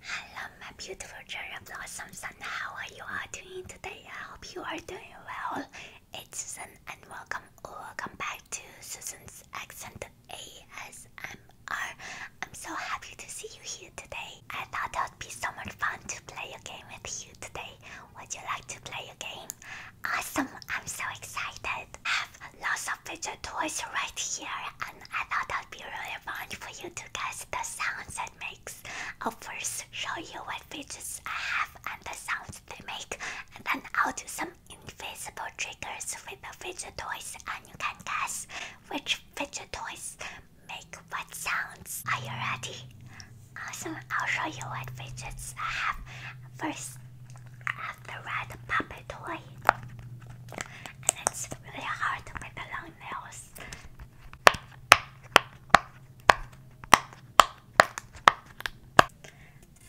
Hello, my beautiful cherry blossoms, and how are you all doing today? I hope you are doing well. It's Susan, and welcome, welcome back to Susan's Accent ASMR. I'm so happy to see you here today. I thought it would be so much fun to play a game with you today. Would you like to play a game? Awesome! I'm so excited. I have lots of fidget toys right here and I thought that'd be really fun for you to guess the sounds it makes. I'll first show you what fidgets I have and the sounds they make, and then I'll do some invisible triggers with the fidget toys, and you can guess which fidget toys make what sounds. Are you ready? Awesome! I'll show you what fidgets I have. First, I have the red puppet toy. And it's really hard with the long nails.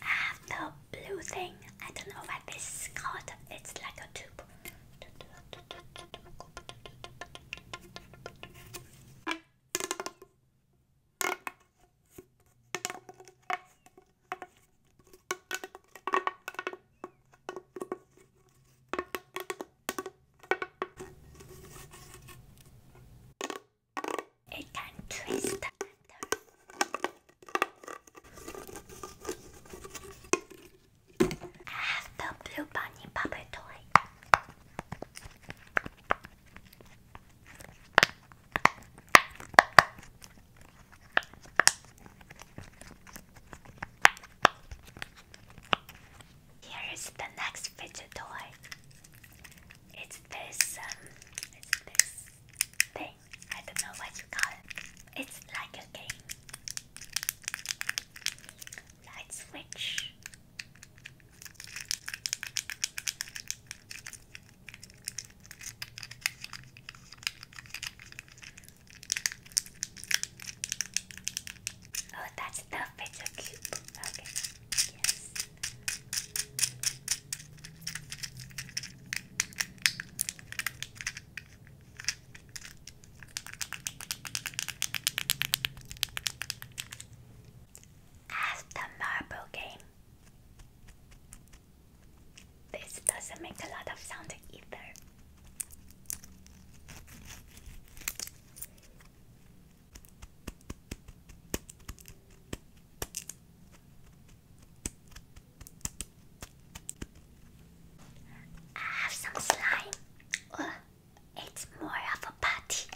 I have the blue thing. I don't know what this is called. It's like a tube. It can twist the letter. I ah, have the blue bunny bubble toy. Here's the next fidget toy. It's this, um, this thing. I don't know what you call it. It's like a game. Light switch. Oh, that's the pizza cube. Okay. Yes. As the marble game. This doesn't make a lot of sound either. I have some slime. it's more of a party.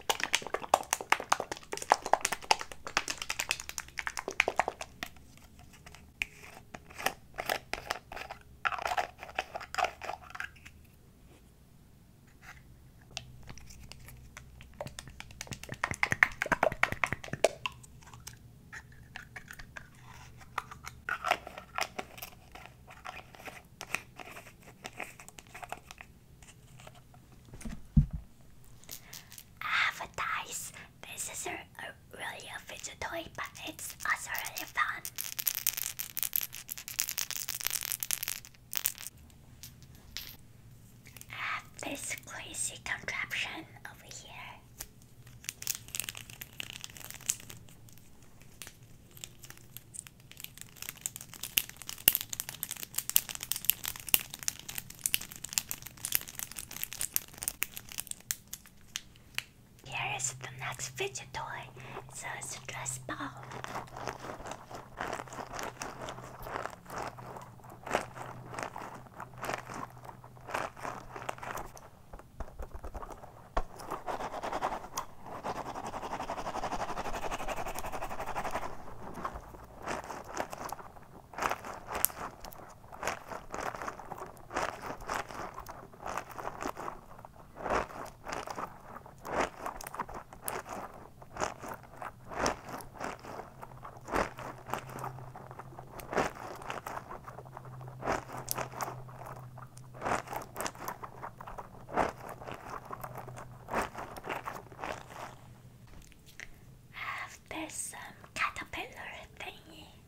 Advertise this is a, really a fidget toy, but it's also really fun. I have this crazy contraption over here. Here is the next fidget toy. It's a stress ball. I've After some um, caterpillar thingy,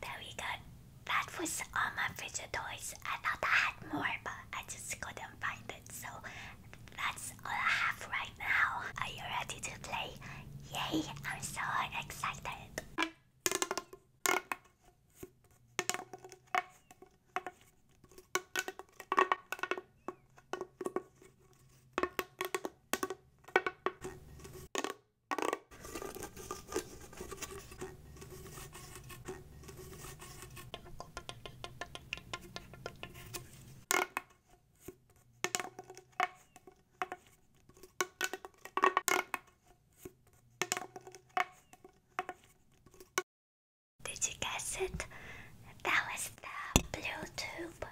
there we go. That was all my fidget toys. I thought I had more, but I just couldn't find so that's all I have right now. Are you ready to play? Yay! I'm so excited. Did you guess it? That was the blue tube.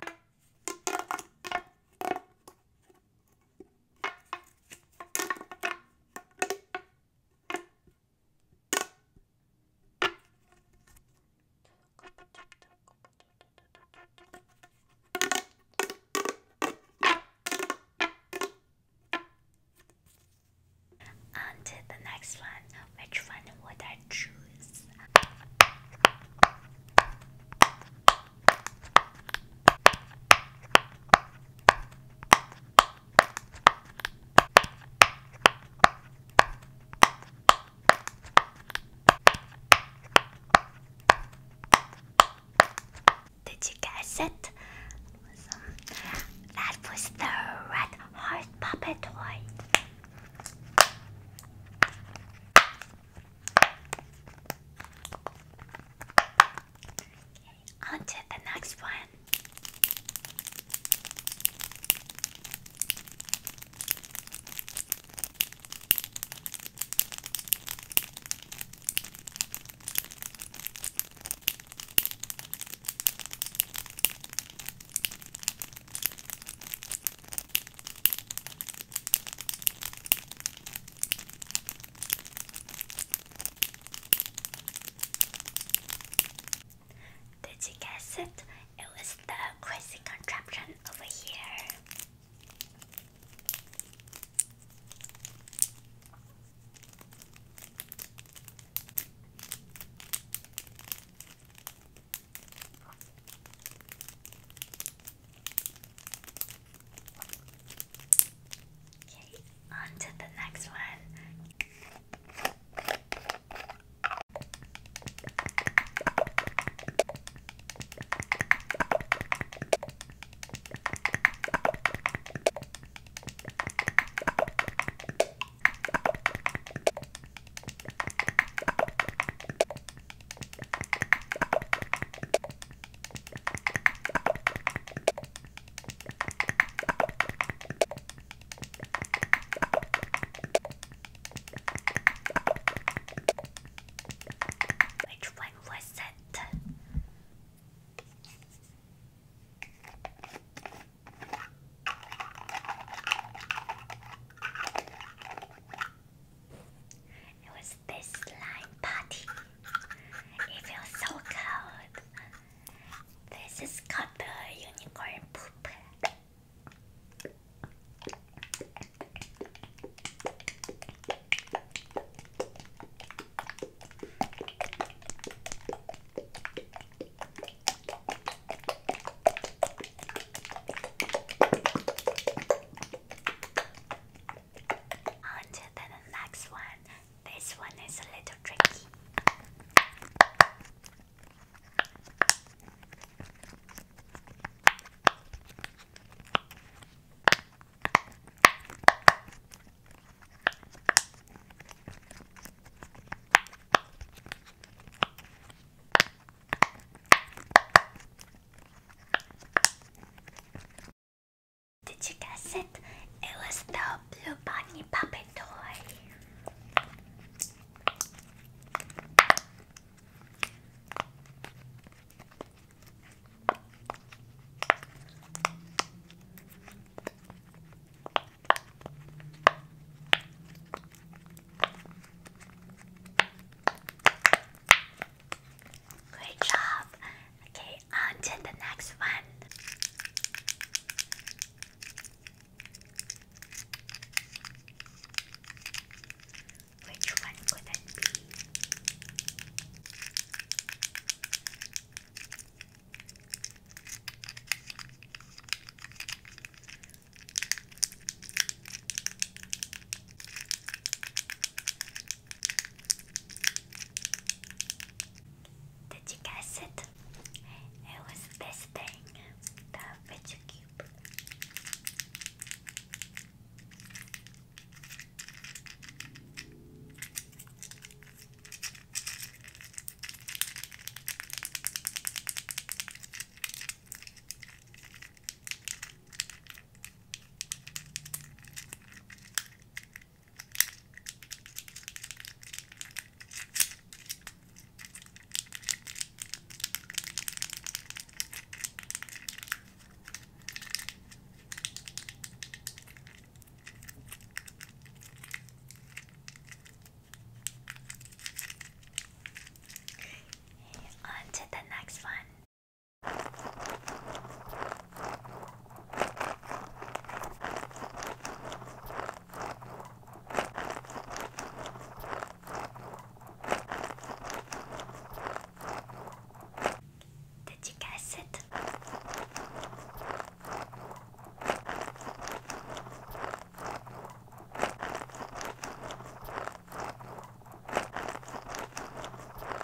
And the next one, which one would I choose? Did you guess it? That was the red heart puppet toy on to the next one. Did you guess it? It was the crazy contraption over here. Okay, on to the next one. Which one It was this slime party. It feels so cold. This is called the unicorn poop. On to the next one. This one is a little tricky. Did you guess it? It was the Blue Bunny puppet toy. Great job. Okay, on to the next one. Which one could it be? Did you guess it? It was this thing, the fidget on to the next one. Did you guess it?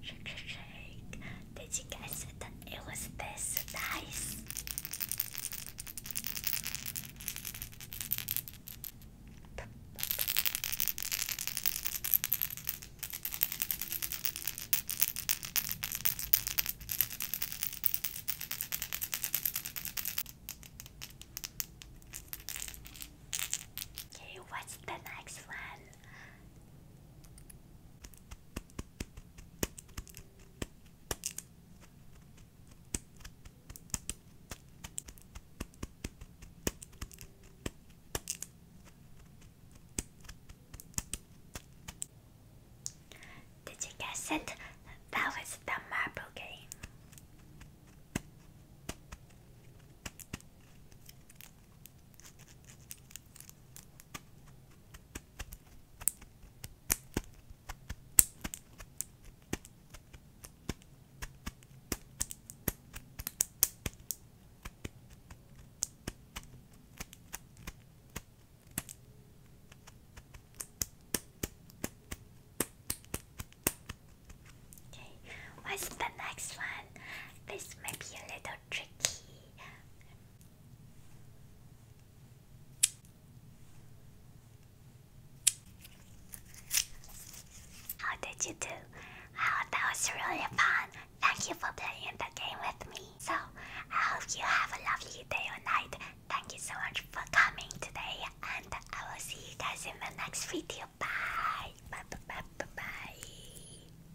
shake, shake, shake. Did you guys say that it was this nice? Okay, what's the next one? Did you guess it? That was the marble game. Okay, what's the next one? This may be a little tricky. How did you do? Oh, that was really fun. Thank you for playing the game with me. So, I hope you have a lovely day or night. Thank you so much for coming today, and I will see you guys in the next video. Bye. Bye bye bye bye. bye.